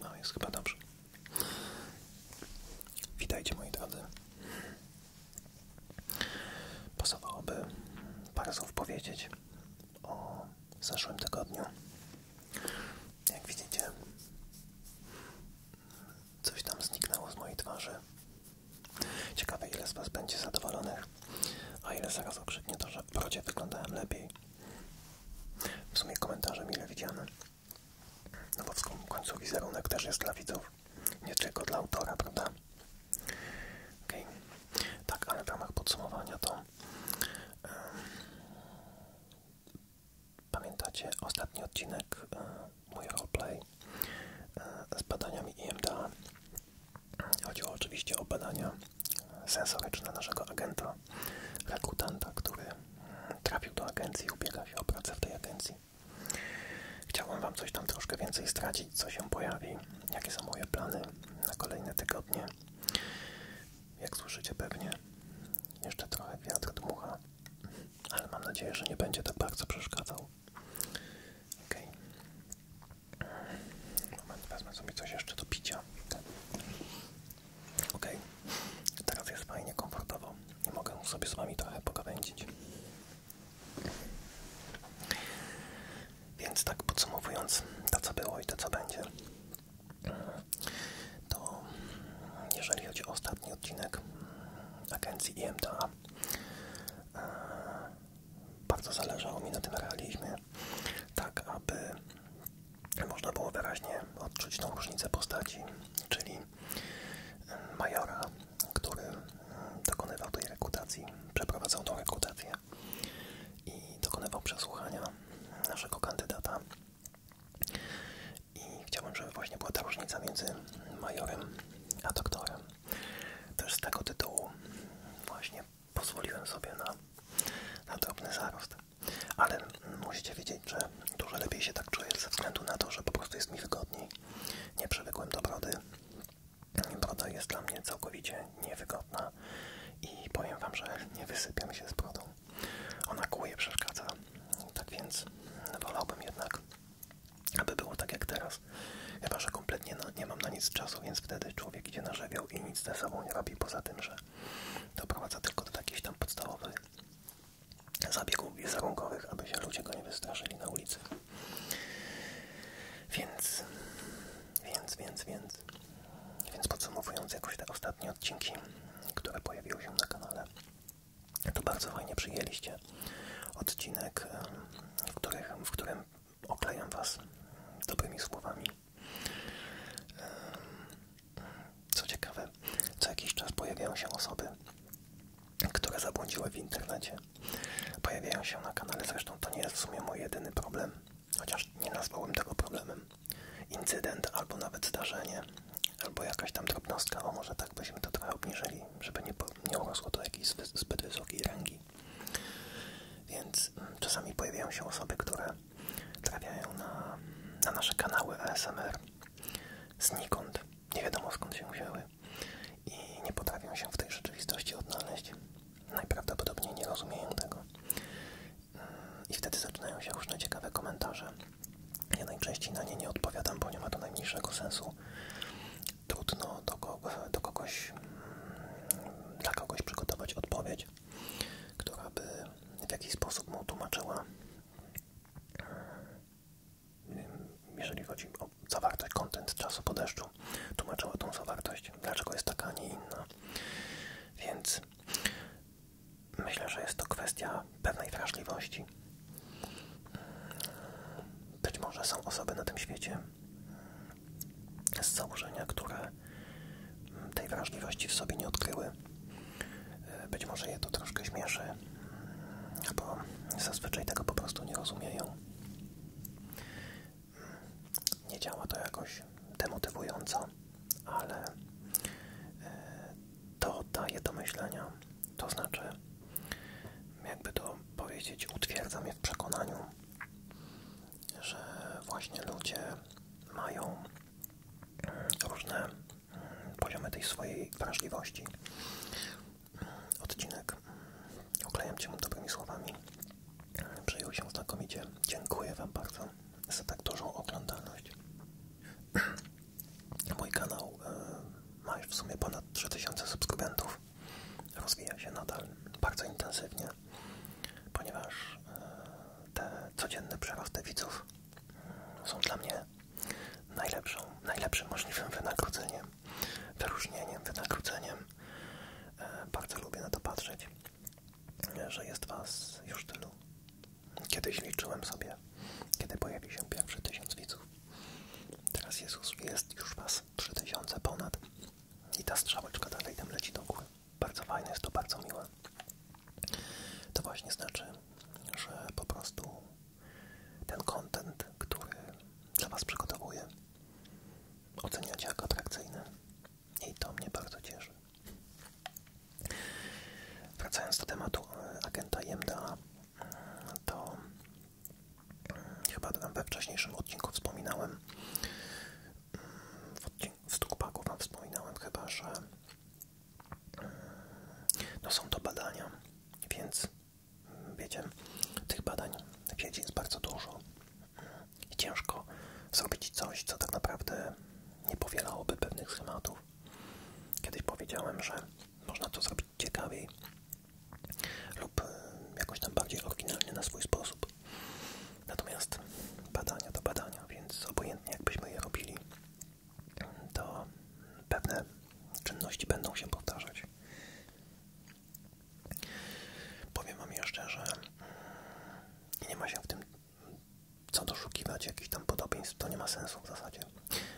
No jest chyba dobrze. Witajcie moi drodzy. Pasowałoby parę słów powiedzieć o zeszłym tygodniu. Jak widzicie, coś tam zniknęło z mojej twarzy. Ciekawe, ile z Was będzie zadowolonych, a ile zaraz okrzyknie to, że w brodzie wyglądałem lepiej. W sumie komentarze mile widziane. No bo w końcu wizerunek też jest dla widzów, nie tylko dla autora, prawda? Okay. Tak, ale w ramach podsumowania to Pamiętacie ostatni odcinek, e, mój roleplay e, z badaniami IMDA? Chodziło oczywiście o badania e, sensoryczne naszego agenta, rekrutanta, który mm, trafił do agencji, ubiega się o pracę w tej agencji. Chciałbym Wam coś tam troszkę więcej stracić, co się pojawi, jakie są moje plany na kolejne tygodnie jak słyszycie pewnie, jeszcze trochę wiatr dmucha, ale mam nadzieję, że nie będzie tak bardzo przeszkadzał. Ok. Moment, wezmę sobie coś jeszcze do picia. Ok. Teraz jest fajnie, komfortowo i mogę sobie z wami trochę pogawędzić. Więc tak podsumowując, to co było i to co będzie to jeżeli chodzi o ostatni odcinek agencji IMDA, e, bardzo zależało mi na tym realizmie, tak aby można było wyraźnie odczuć tą różnicę postaci, czyli majora, który dokonywał tej rekrutacji, przeprowadzał tą rekrutację i dokonywał przesłuchania naszego kandydata. I chciałbym, żeby właśnie była ta różnica między majorem a doktorem. Też z tego tytułu właśnie pozwoliłem sobie na, na drobny zarost. Ale musicie wiedzieć, że dużo lepiej się tak czuję ze względu na to, że po prostu jest mi wygodniej. Nie przywykłem do brody. Broda jest dla mnie całkowicie niewygodna i powiem wam, że nie wysypiam się z brodą. Ona kłuje, przeszkadza. Tak więc wolałbym jednak, aby było tak jak teraz. Chyba, że kompletnie nie mam na nic czasu, więc wtedy człowiek idzie na i nic ze sobą nie robi, poza tym, że doprowadza tylko do jakichś tam podstawowych zabiegów wizerunkowych, aby się ludzie go nie wystraszyli na ulicy. Więc, więc, więc, więc więc podsumowując jakoś te ostatnie odcinki, które pojawiły się na kanale, to bardzo fajnie przyjęliście odcinek, w, których, w którym oklejam Was dobrymi słowami. Co ciekawe, co jakiś czas pojawiają się osoby, które zabłądziły w internecie. Pojawiają się na kanale, zresztą to nie jest w sumie mój jedyny problem chociaż nie nazwałbym tego problemem, incydent albo nawet zdarzenie, albo jakaś tam drobnostka, bo może tak byśmy to trochę obniżyli, żeby nie, urosło to jakiejś zbyt wysokiej rangi. Więc czasami pojawiają się osoby, które trafiają na, na nasze kanały ASMR znikąd, nie wiadomo skąd się wzięły i nie potrafią się w tej rzeczywistości odnaleźć najprawdopodobniej nie rozumieją tego. Yy, I wtedy zaczynają się różne ciekawe komentarze. Ja najczęściej na nie nie odpowiadam, bo nie ma to najmniejszego sensu. Trudno do, do kogoś, mm, dla kogoś przygotować odpowiedź, która by w jakiś sposób mu tłumaczyła, yy, jeżeli chodzi o zawartość, kontent czasu po deszczu, tłumaczyła tą zawartość, dlaczego jest taka, a nie inna. Więc myślę, że jest to kwestia pewnej wrażliwości. Być może są osoby na tym świecie z założenia, które tej wrażliwości w sobie nie odkryły. Być może je to troszkę śmieszy, bo zazwyczaj tego po prostu nie rozumieją nie działa to jakoś demotywująco, ale e, to daje do myślenia. To znaczy, jakby to powiedzieć, utwierdza mnie w przekonaniu, że właśnie ludzie mają mm, różne mm, poziomy tej swojej wrażliwości. Odcinek mm, oklejam Cię dobrymi słowami Przyjął się znakomicie. Dziękuję Wam bardzo za tak dużą oglądalność. Mój kanał e, ma już w sumie ponad 3000 subskrybentów. Rozwija się nadal bardzo intensywnie, ponieważ e, te codzienne przerosty widzów mm, są dla mnie najlepszą, najlepszym możliwym wynagrodzeniem, wyróżnieniem, wynagrodzeniem E, bardzo lubię na to patrzeć, że jest Was już tylu. Kiedyś liczyłem sobie, kiedy pojawił się pierwszy tysiąc widzów. Teraz Jezus, jest już Was trzy tysiące ponad i ta strzałeczka dalej tam leci do góry. Bardzo fajne, jest to bardzo miłe. To właśnie znaczy, że po prostu ten content, który dla Was przygotowuje oceniacie jako atrakcyjne i to mnie bardzo cieszy. Wracając do tematu e, agenta IMDA, e, to e, chyba we wcześniejszym odcinku wspominałem, w, odcinku, w Stukpaku wam wspominałem chyba, że no są to badania, więc wiecie, tych badań w jest bardzo dużo i ciężko zrobić coś, co tak naprawdę nie powielałoby pewnych schematów. Kiedyś powiedziałem, że można to zrobić ciekawiej lub e, jakoś tam bardziej oryginalnie na swój sposób. Natomiast badania to badania, więc obojętnie jakbyśmy je robili, to pewne czynności będą się powtarzać. Powiem Wam jeszcze, że mm, nie ma się w tym co doszukiwać jakichś tam podobieństw, to nie ma sensu w zasadzie.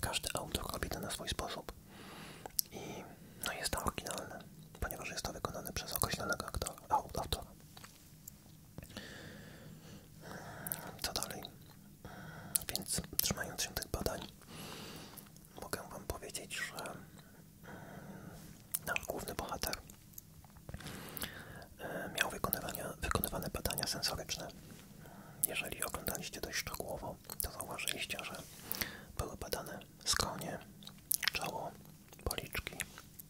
Każdy autor robi na swój sposób i no jest to oryginalne, ponieważ jest to wykonane przez określonego aktora, autora. Co dalej? Więc trzymając się tych badań, mogę Wam powiedzieć, że mm, nasz główny bohater e, miał wykonywane badania sensoryczne. Jeżeli oglądaliście dość szczegółowo, to zauważyliście, że były badane skronie, czoło, policzki.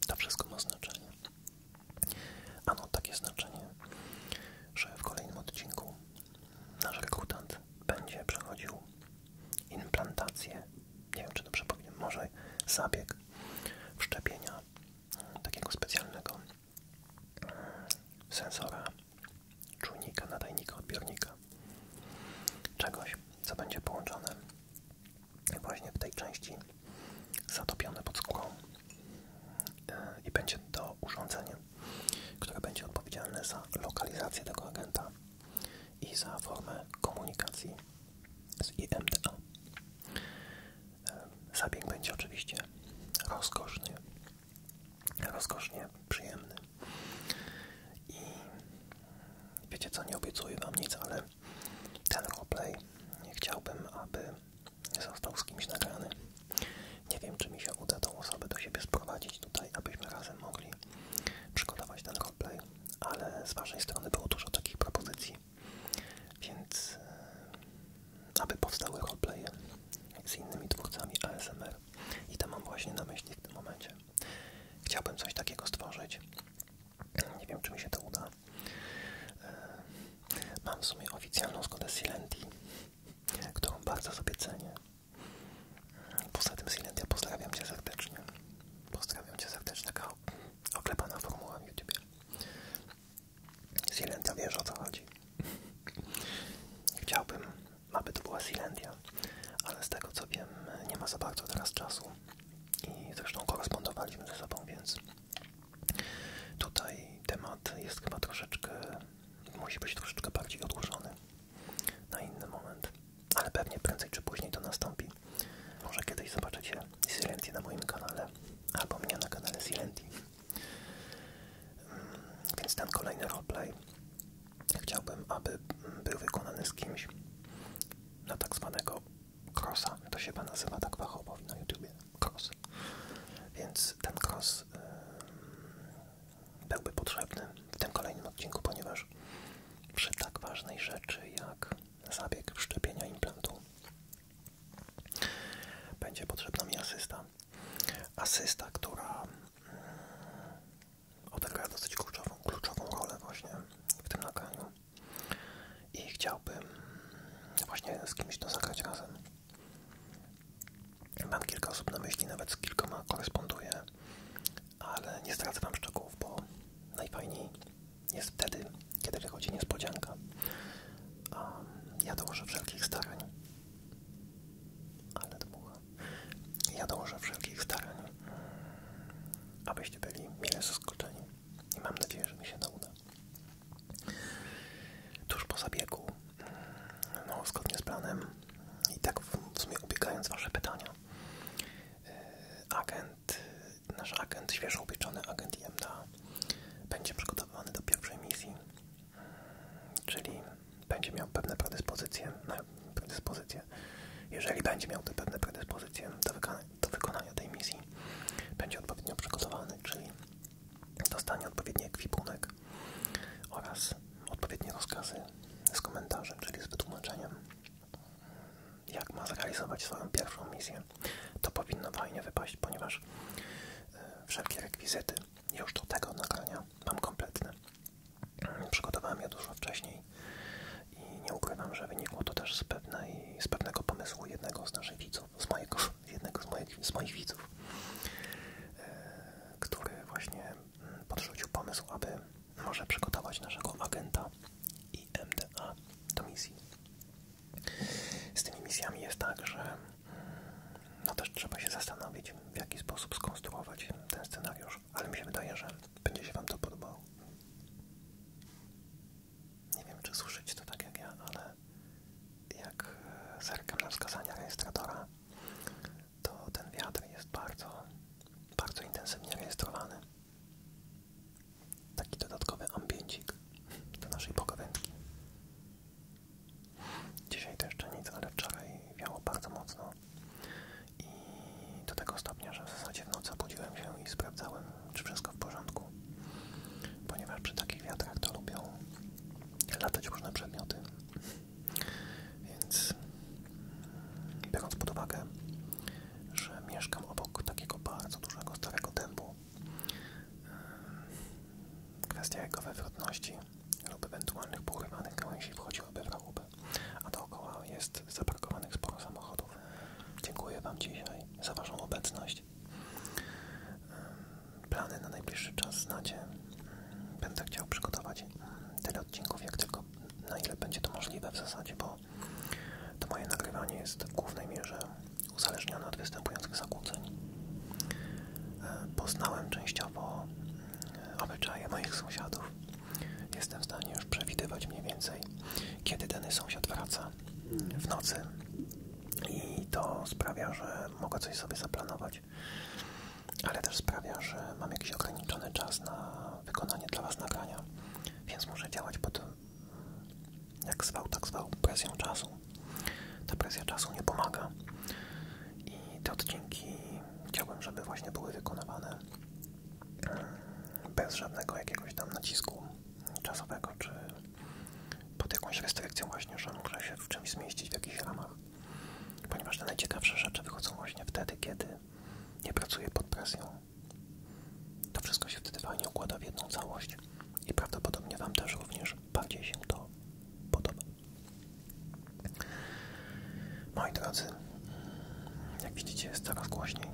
To wszystko ma znaczenie. Ano takie znaczenie, że w kolejnym odcinku nasz rekrutant będzie przechodził implantację, nie wiem czy dobrze powiem, może zabieg wszczepienia takiego specjalnego sensora, czujnika, nadajnika, odbiornika, czegoś, co będzie połączone właśnie w tej części zatopione pod skórą e, i będzie to urządzenie, które będzie odpowiedzialne za lokalizację tego agenta i za formę komunikacji z IMDA. Zabieg będzie oczywiście rozkoszny, rozkosznie przyjemny. I wiecie co, nie obiecuję Wam nic, ale ten roleplay chciałbym, aby został z kimś nagrany. Nie wiem, czy mi się uda tą osobę do siebie sprowadzić tutaj, abyśmy razem mogli przygotować ten roleplay, ale z waszej strony było dużo takich propozycji, więc e, aby powstały roleplaye z innymi twórcami ASMR i to mam właśnie na myśli w tym momencie. Chciałbym coś takiego stworzyć. Nie wiem, czy mi się to uda. E, mam w sumie oficjalną zgodę Silenti, którą bardzo sobie cenię. Poza tym Silent, ja pozdrawiam Cię serdecznie. Pozdrawiam Cię serdecznie, taka oklepana formuła na YouTube. Silentia wiesz o co chodzi. Chciałbym, aby to była Silentia, ale z tego co wiem, nie ma za bardzo teraz czasu i zresztą korespondowaliśmy ze sobą, więc tutaj temat jest chyba troszeczkę musi być troszeczkę bardziej odłożony na inny moment, ale pewnie prędzej czy później to nastąpi. Może kiedyś zobaczycie Silenti na moim kanale albo mnie na kanale Silenti. Mm, więc ten kolejny roleplay chciałbym, aby był wykonany z kimś na tak zwanego crossa. To się chyba nazywa tak fachowo na YouTubie. Cross. Więc ten cross byłby potrzebny w tym kolejnym odcinku, ponieważ przy tak ważnej rzeczy jak zabieg wszczepienia implantu będzie potrzebna mi asysta. Asysta, która mm, odegra dosyć kluczową, kluczową rolę właśnie w tym nagraniu i chciałbym właśnie z kimś to zagrać razem. Mam kilka osób na myśli, nawet z kilkoma koresponduję, ale nie stracę Wam szczegółów, bo najfajniej jest wtedy, kiedy wychodzi niespodzianka. Ja dołożę wszelkich starań, ale dmucha. Ja dołożę wszelkich starań, abyście byli mile zaskoczeni i mam nadzieję, że mi się to uda. Tuż po zabiegu, no, zgodnie z planem, i tak w sumie ubiegając Wasze pytania, e, agent, nasz agent, świeżo ubieczony agent IMDA będzie przygotowany do pierwszej misji, mm, czyli będzie miał pewne predyspozycje, no, predyspozycje. jeżeli będzie miał te pewne predyspozycje do wykonania tej misji, będzie odpowiednio przygotowany, czyli dostanie odpowiedni ekwipunek oraz odpowiednie rozkazy z komentarzem, czyli z wytłumaczeniem, jak ma zrealizować swoją pierwszą misję. To powinno fajnie wypaść, ponieważ e, wszelkie rekwizyty już do tego nagrania mam kompletne. Przygotowałem je dużo wcześniej i nie ukrywam, że wynikło to też z, pewnego pomysłu jednego z naszych widzów, z mojego jednego z moich, widzów, e, który właśnie mm, podrzucił pomysł, aby może przygotować naszego agenta i MDA do misji. Z tymi misjami jest tak, że mm, no też trzeba się zastanowić, w jaki sposób skonstruować ten scenariusz, ale mi się wydaje, że będzie się Wam to podobało. Nie wiem, czy słyszycie to tak jak ja, ale jak e, zerkam na wskazania rejestratora, to ten wiatr jest bardzo, bardzo intensywnie rejestrowany. Taki dodatkowy ambiencik do naszej pogawędki. Dzisiaj to jeszcze nic, ale wczoraj wiało bardzo mocno i do tego stopnia, że w zasadzie w nocy obudziłem się i sprawdzałem, czy wszystko w porządku, ponieważ przy takich wiatrach to lubią latać różne przedmioty. Więc biorąc pod uwagę, że mieszkam obok takiego bardzo dużego, starego dębu, kwestia jego wywrotności lub ewentualnych porywanych gałęzi wchodziłaby w rachubę, a dookoła jest zaparkowanych sporo samochodów. Dziękuję Wam dzisiaj za Waszą obecność. Plany na najbliższy czas znacie. Mm, będę chciał przygotować tyle odcinków, jak tylko na ile będzie to możliwe w zasadzie, bo to moje nagrywanie jest w głównej mierze uzależnione od występujących zakłóceń. E, poznałem częściowo mm, obyczaje moich sąsiadów. Jestem w stanie już przewidywać mniej więcej, kiedy dany sąsiad wraca mm, w nocy. I to sprawia, że mogę coś sobie zaplanować, ale też sprawia, że mam jakiś ograniczony czas na wykonanie dla Was nagrania, więc muszę działać pod, jak zwał, tak zwał, presją czasu. Ta presja czasu nie pomaga i te odcinki chciałbym, żeby właśnie były wykonywane mm, bez żadnego jakiegoś tam nacisku czasowego czy pod jakąś restrykcją właśnie, że muszę się w czymś zmieścić w jakichś ramach. Ponieważ te najciekawsze rzeczy wychodzą właśnie wtedy, kiedy nie pracuję pod presją. To wszystko się wtedy fajnie układa w jedną całość i prawdopodobnie Wam też również bardziej się to podoba. Moi drodzy, jak widzicie jest coraz głośniej.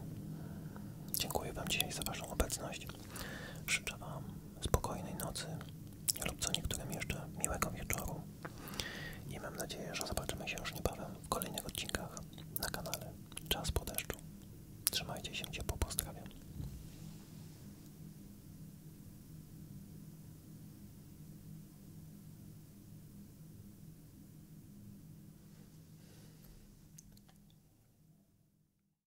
Dziękuję Wam dzisiaj za Waszą obecność. Życzę Wam spokojnej nocy lub co niektórym jeszcze miłego wieczoru i mam nadzieję, że zobaczymy się już niebawem w kolejnych odcinkach na kanale Czas po deszczu. Trzymajcie się ciepło, pozdrawiam.